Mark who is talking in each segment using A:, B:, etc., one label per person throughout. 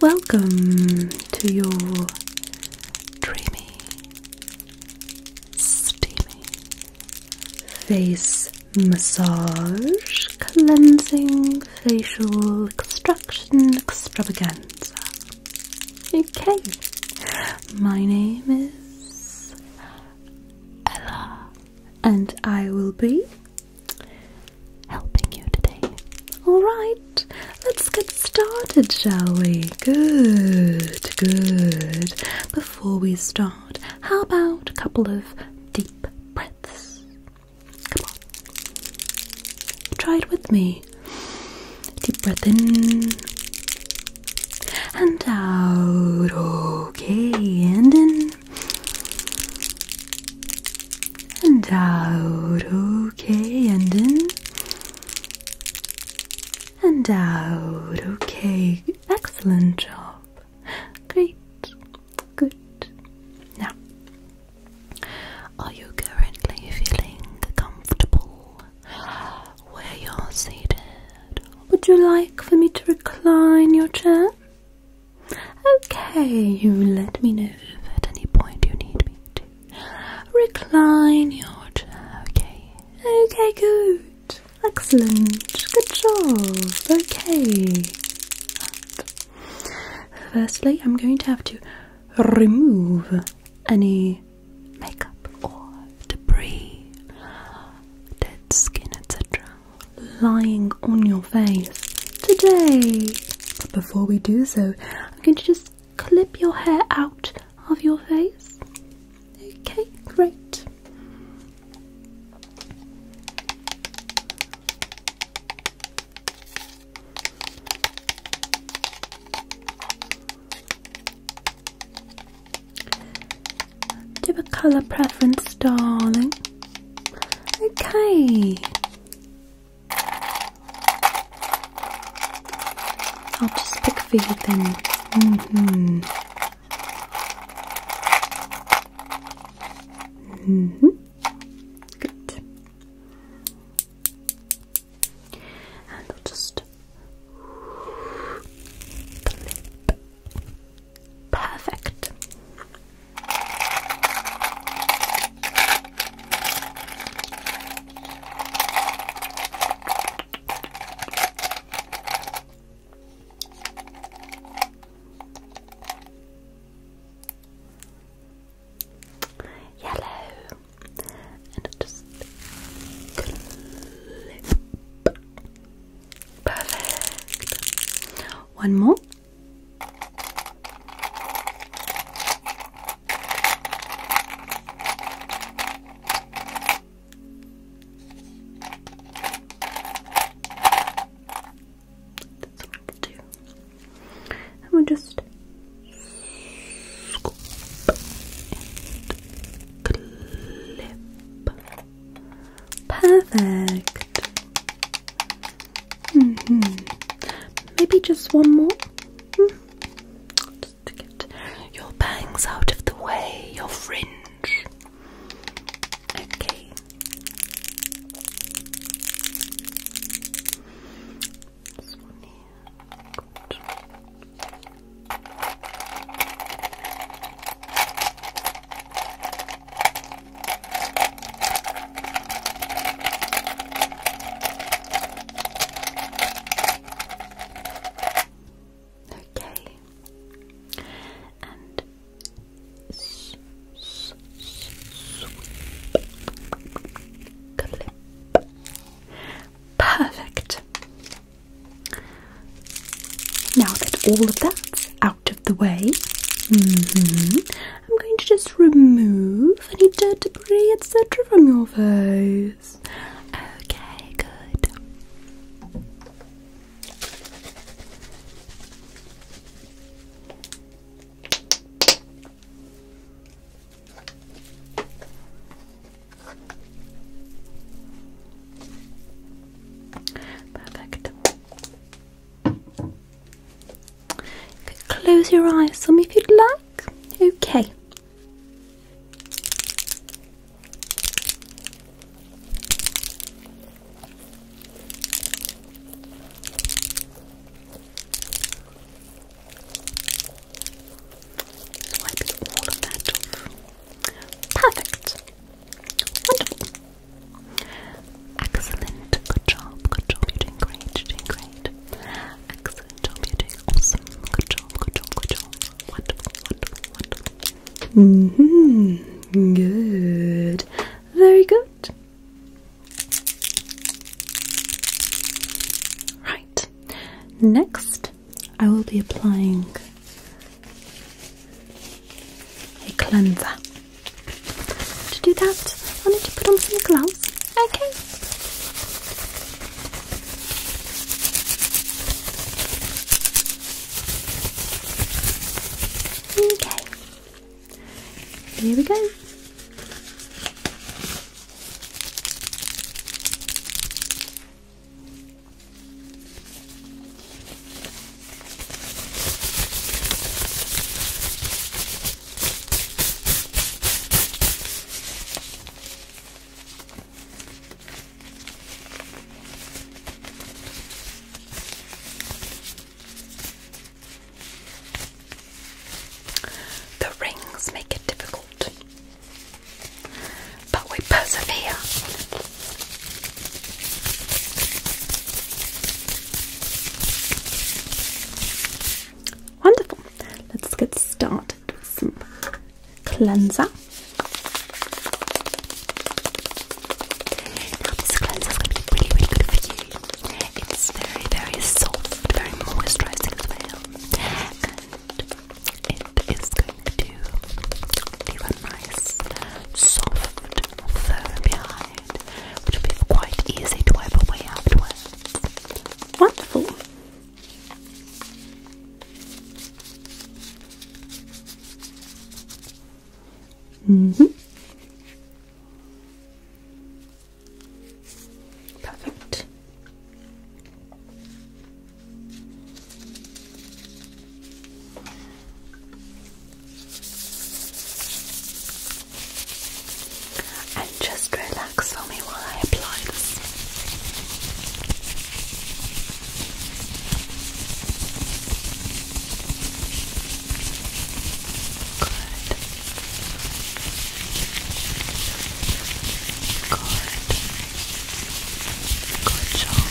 A: Welcome to your dreamy, steamy face massage, cleansing, facial extraction extravaganza. Okay, my name is Ella, and I will be helping you today. Alright, let's get started, shall we? Good, good. Before we start, how about a couple of deep breaths? Come on. Try it with me. Deep breath in and out. Okay, and in and out, okay, and in and out, okay, excellent job, great, good. Now, are you currently feeling comfortable where you're seated? Would you like for me to recline your chair? Okay, you let me know if at any point you need me to recline your chair. Okay, okay, good, excellent, good job. Okay, firstly, I'm going to have to remove any makeup or debris, dead skin, etc lying on your face today. But before we do so, I'm going to just clip your hair out of your face. Okay, great. Do a colour preference, darling. Okay. I'll just pick for you then. hmm. hmm. Good. And I'll just. Perfect. Yellow, and just Perfect. One more. That's too. And we just scoop and clip. Perfect. Mm-hmm. Maybe just one more. Hmm? Just to get your bangs out of the way, your fringe. Okay. Okay. And s Perfect. Now that all of that's out of the way. Mm-hmm. I'm going to just remove any dirt, debris, etc., from your face. Okay, good. Perfect. Close your eyes some if you'd like. Okay. Wipe all of that off. Perfect. Excellent. Good job. Good job. You're doing great. You're doing great. Excellent job. You're doing awesome. Good job. Good job. Good job. Wonderful. Wonderful. Wonderful. Mm hmm. Good. Very good. Right. Next, I will be applying a cleanser. To do that, I need to put on some gloves. Okay. Okay. Here we go. The rings make it difficult, but we persevere. Wonderful. Let's get started with some cleanser. Now this cleanser is going to be really, really good for you. It's very, very soft, very moisturizing as well. And it is going to leave a nice soft fur behind which will be quite easy to wipe away afterwards. Wonderful! hmm. Perfect. And just relax for me while I apply this. Good. Good. Good job.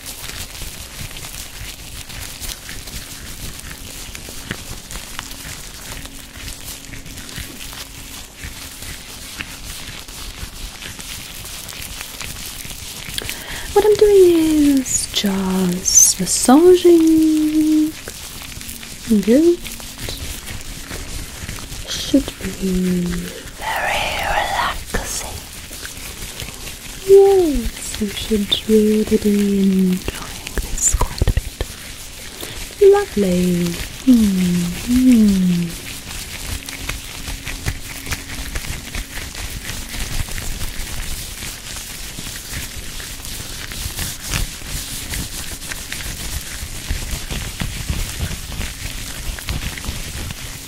A: What I'm doing is just massaging. Good. Should be very relaxing. Yes, you should really be enjoying this quite a bit. Lovely. Mm-hmm.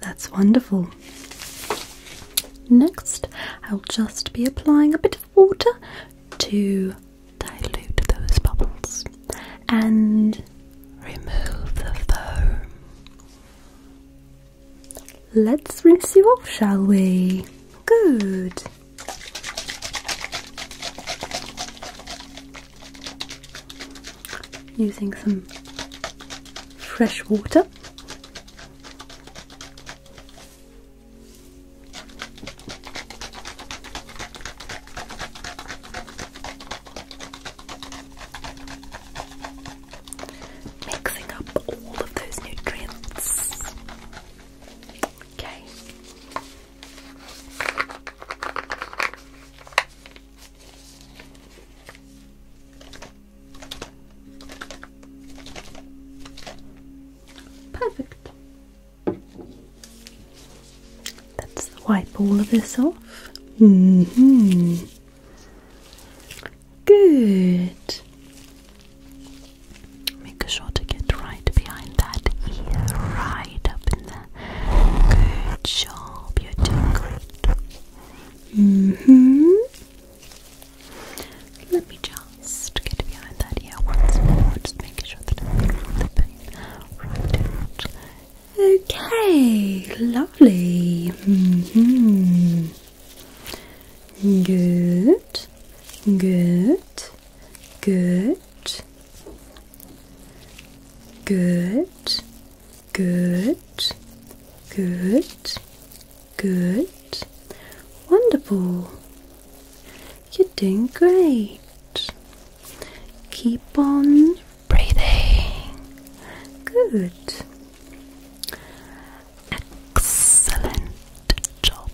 A: That's wonderful. Next, I'll just be applying a bit of water to dilute those bubbles and remove the foam. Let's rinse you off, shall we? Good using some fresh water. Mixing up all of those nutrients. Okay. Perfect. Let's wipe all of this off. hmm. Good. Make sure to get right behind that ear, right up in there. Good job, you Mm hmm. Let me just get behind that ear once more, just making sure that I feel the pain right Okay, lovely. Mm hmm. Good, good, good, good, Good, good, good. Wonderful. You're doing great. Keep on breathing. Good. Excellent job.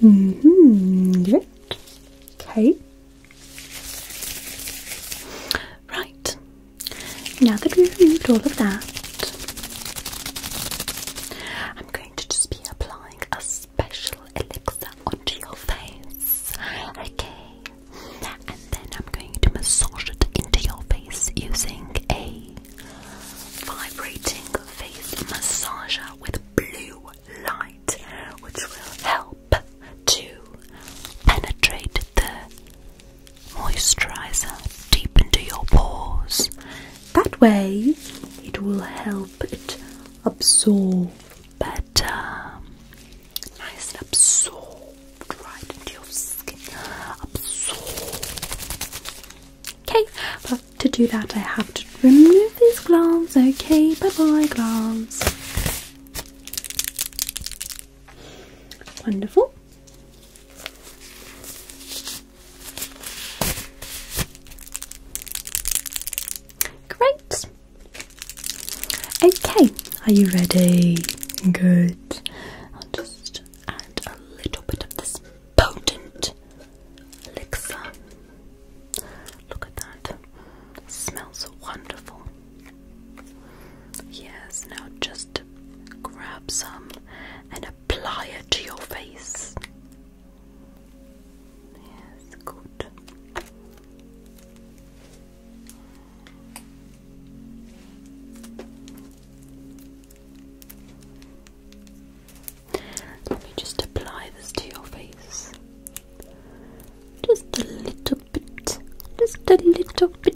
A: hmm Good. Okay. Right. Now that we've removed all of that, I'm going to just be applying a special elixir onto your face. Okay. And then I'm going to massage it into your face using a vibrating face massager with blue light, which will help to penetrate the moisturizer deep into your pores. That way, it will help it absorb better. Nice and absorbed right into your skin. Absorb. Okay, but to do that, I have to remove these gloves. Okay, bye bye, gloves. Wonderful. Great. Okay, are you ready? Good. I'll just add a little bit of this potent elixir. Look at that. smells wonderful. Yes, now just grab some and apply it to your face. Yes, good. Let me just apply this to your face. Just a little bit. Just a little bit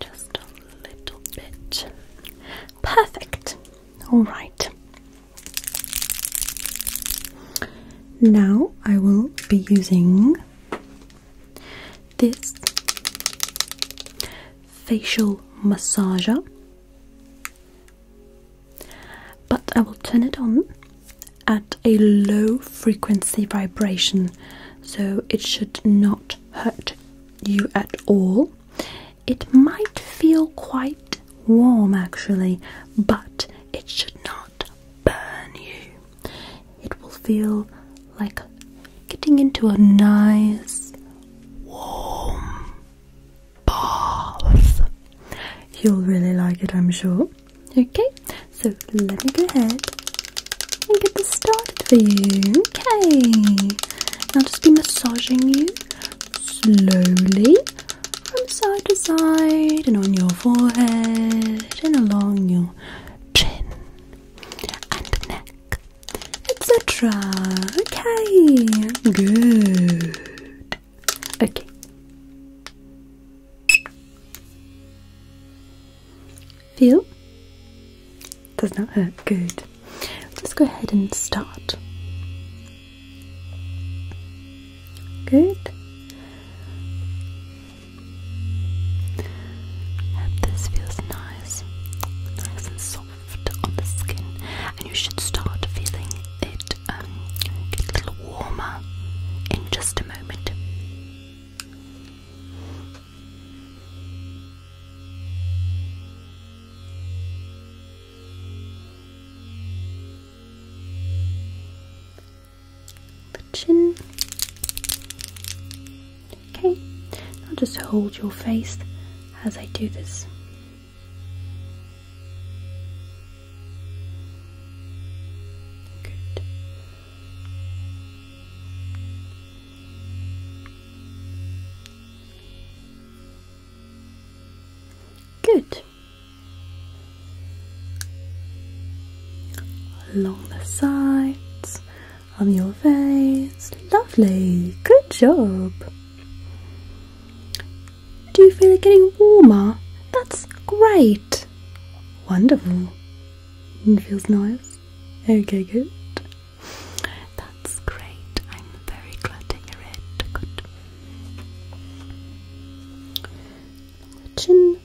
A: Just a little bit. Perfect. All right. Now I will be using this facial massager, but I will turn it on at a low frequency vibration so it should not hurt you at all. It might feel quite warm actually, but it should not burn you. It will feel like getting into a nice warm bath. You'll really like it, I'm sure. Okay, so let me go ahead and get this started for you. Okay. Now just be massaging you slowly from side to side and on your forehead and along your chin and neck, etc. Okay. Good. Okay. Feel? Does that hurt. Good. Let's go ahead and start. Good. this feels nice, nice and soft on the skin, and you should start feeling it um, a little warmer in just a moment. The chin. Okay, now just hold your face as I do this. Good. Good. Along the sides on your face. Lovely. Good job. Do you feel it getting warmer? That's great. Wonderful. It feels nice. Okay, good. That's great. I'm very glad to hear it. Good. chin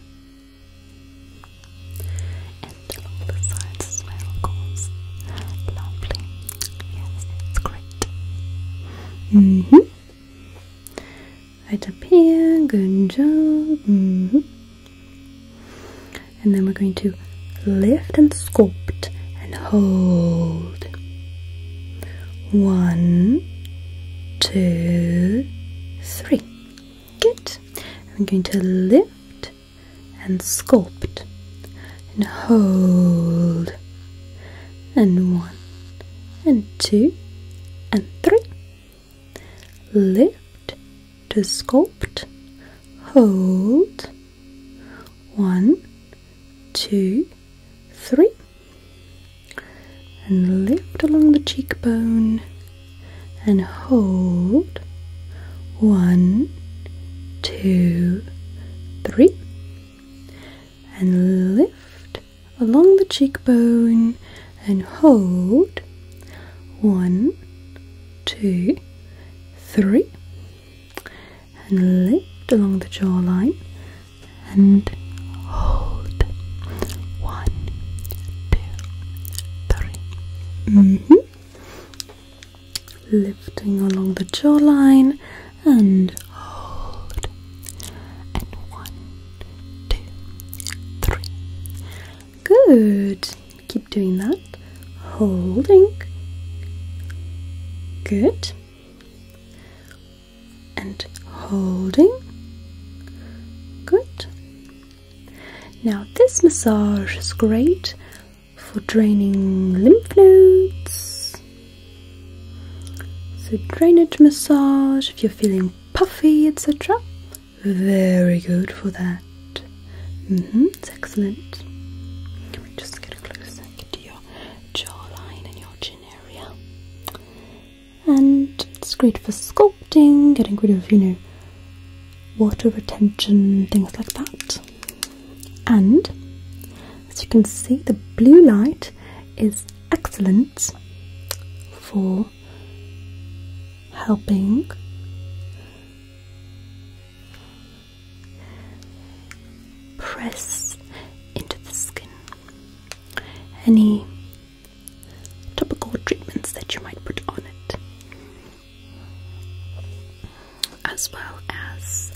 A: and along the sides as well, of Lovely. Yes, it's great. Mm hmm. Right up here. Good job. Mm hmm. And then we're going to lift and sculpt and hold. One, two, three. Good. I'm going to lift and sculpt and hold. And one, and two, and three. Lift to sculpt, hold, one, two, three, and lift along the cheekbone and hold, one, two, three, and lift along the cheekbone and hold, one, two, three, and lift along the jawline and hold one, two, three. -hmm. Lifting along the jawline and hold, and one, two, three. Good doing that. Holding. Good. And holding. Good. Now, this massage is great for draining lymph nodes. So, drainage massage if you're feeling puffy, etc. Very good for that. Mm-hmm, it's excellent. just get a close look to your jawline and your chin area? And it's great for sculpting, getting rid of, you know, water retention, things like that. And as you can see, the blue light is excellent for helping press into the skin. Any topical treatments that you might put on it, as well as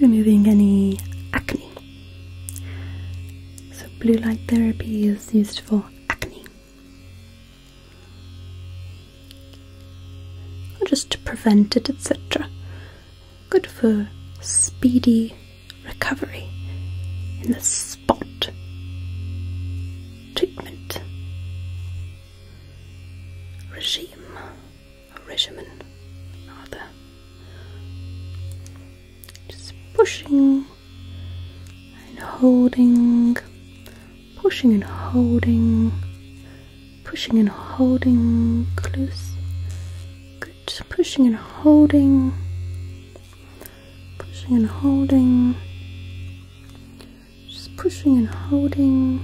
A: removing any acne. So, blue light therapy is used for acne just to prevent it, etc. Good for speedy recovery in the spot treatment regime regimen rather. Just pushing and holding pushing and holding, pushing and holding close. Good, pushing and holding, pushing and holding, just pushing and holding.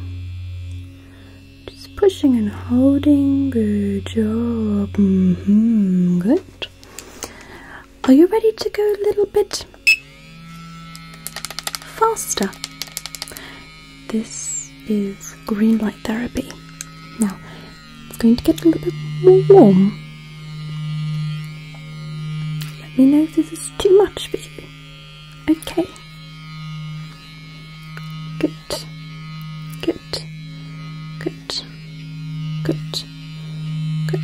A: Just pushing and holding. Good job. -hmm. Good. Are you ready to go a little bit faster. This is green light therapy. Now, it's going to get a little bit more warm. Let me know if this is too much for you. Okay. Good. Good. Good. Good. Good.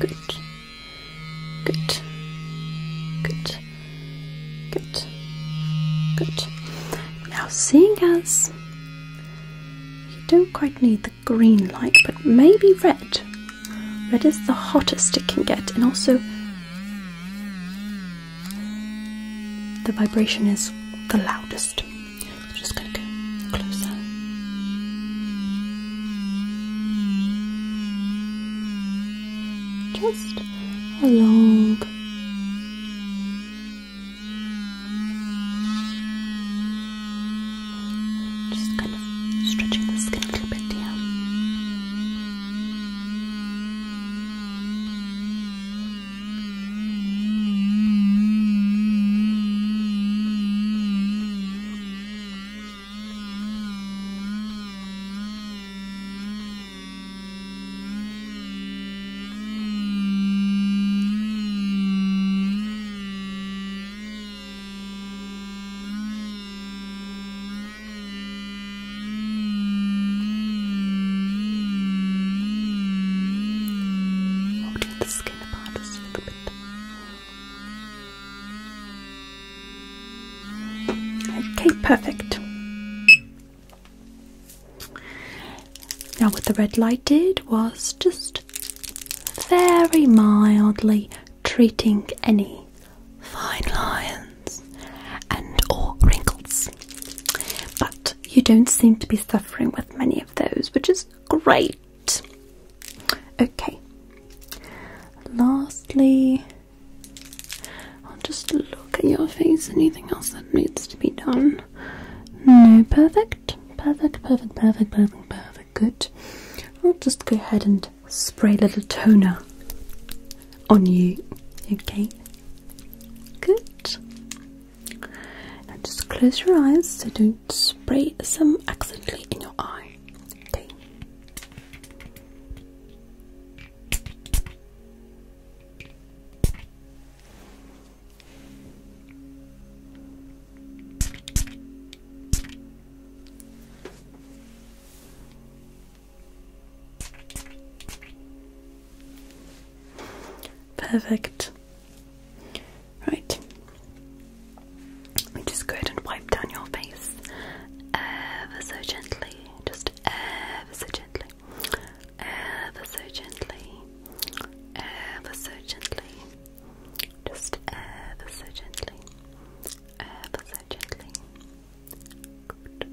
A: Good. Good. Good. Good. Good. Now, seeing as you don't quite need the green light, but maybe red. Red is the hottest it can get, and also the vibration is the loudest. I'm just going to go closer just along just kind of stretching the skin a little bit here Okay, the skin apart just a little bit. Okay, perfect. Now, what the red light did was just very mildly treating any fine lines and or wrinkles. But you don't seem to be suffering with many of those, which is great. Okay. Lastly, I'll just look at your face. Anything else that needs to be done? No, perfect. Perfect, perfect, perfect, perfect, perfect. Good. I'll just go ahead and spray a little toner on you. Okay. Good. Now just close your eyes so don't spray some accidentally in your eye. Okay. Perfect. Right. just go ahead and wipe down your face ever so gently just ever so gently, ever so gently, ever so gently, just ever so gently, ever so gently. Good. Good.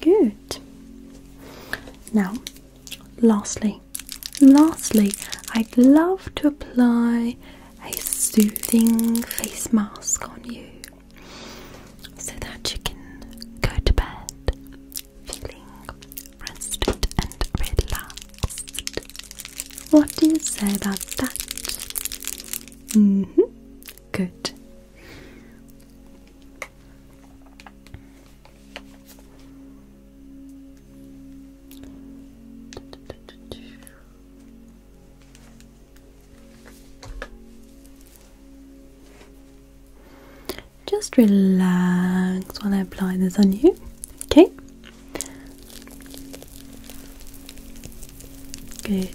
A: Good. Now, lastly, lastly, I'd love to apply a soothing face mask on you so that you can go to bed feeling rested and relaxed. What do you say about that? hmm. Good. Just relax while I apply this on you, okay? Good.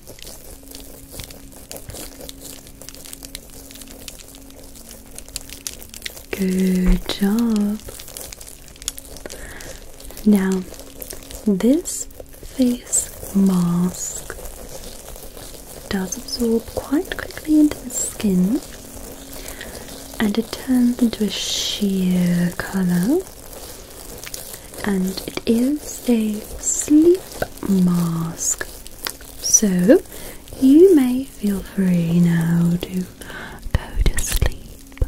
A: Good job. Now, this face mask does absorb quite quickly into the skin and it turns into a sheer colour and it is a sleep mask. So you may feel free now to go to sleep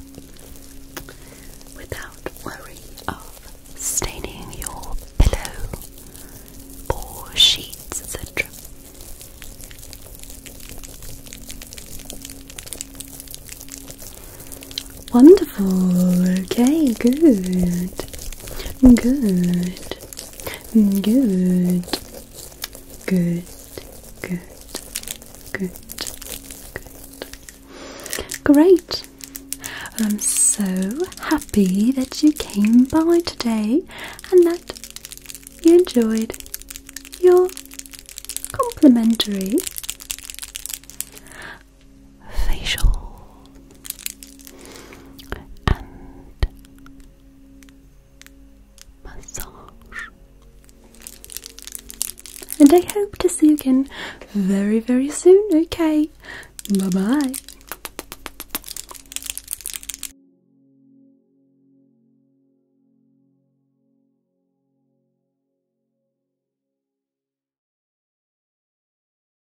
A: without worry of staining your pillow or sheets, etc. Wonderful, okay, good. Good. Good. Good. Good. Good. Good. Great. I'm so happy that you came by today and that you enjoyed your complimentary facial and massage. And I hope to see you again very, very soon. Okay, bye bye.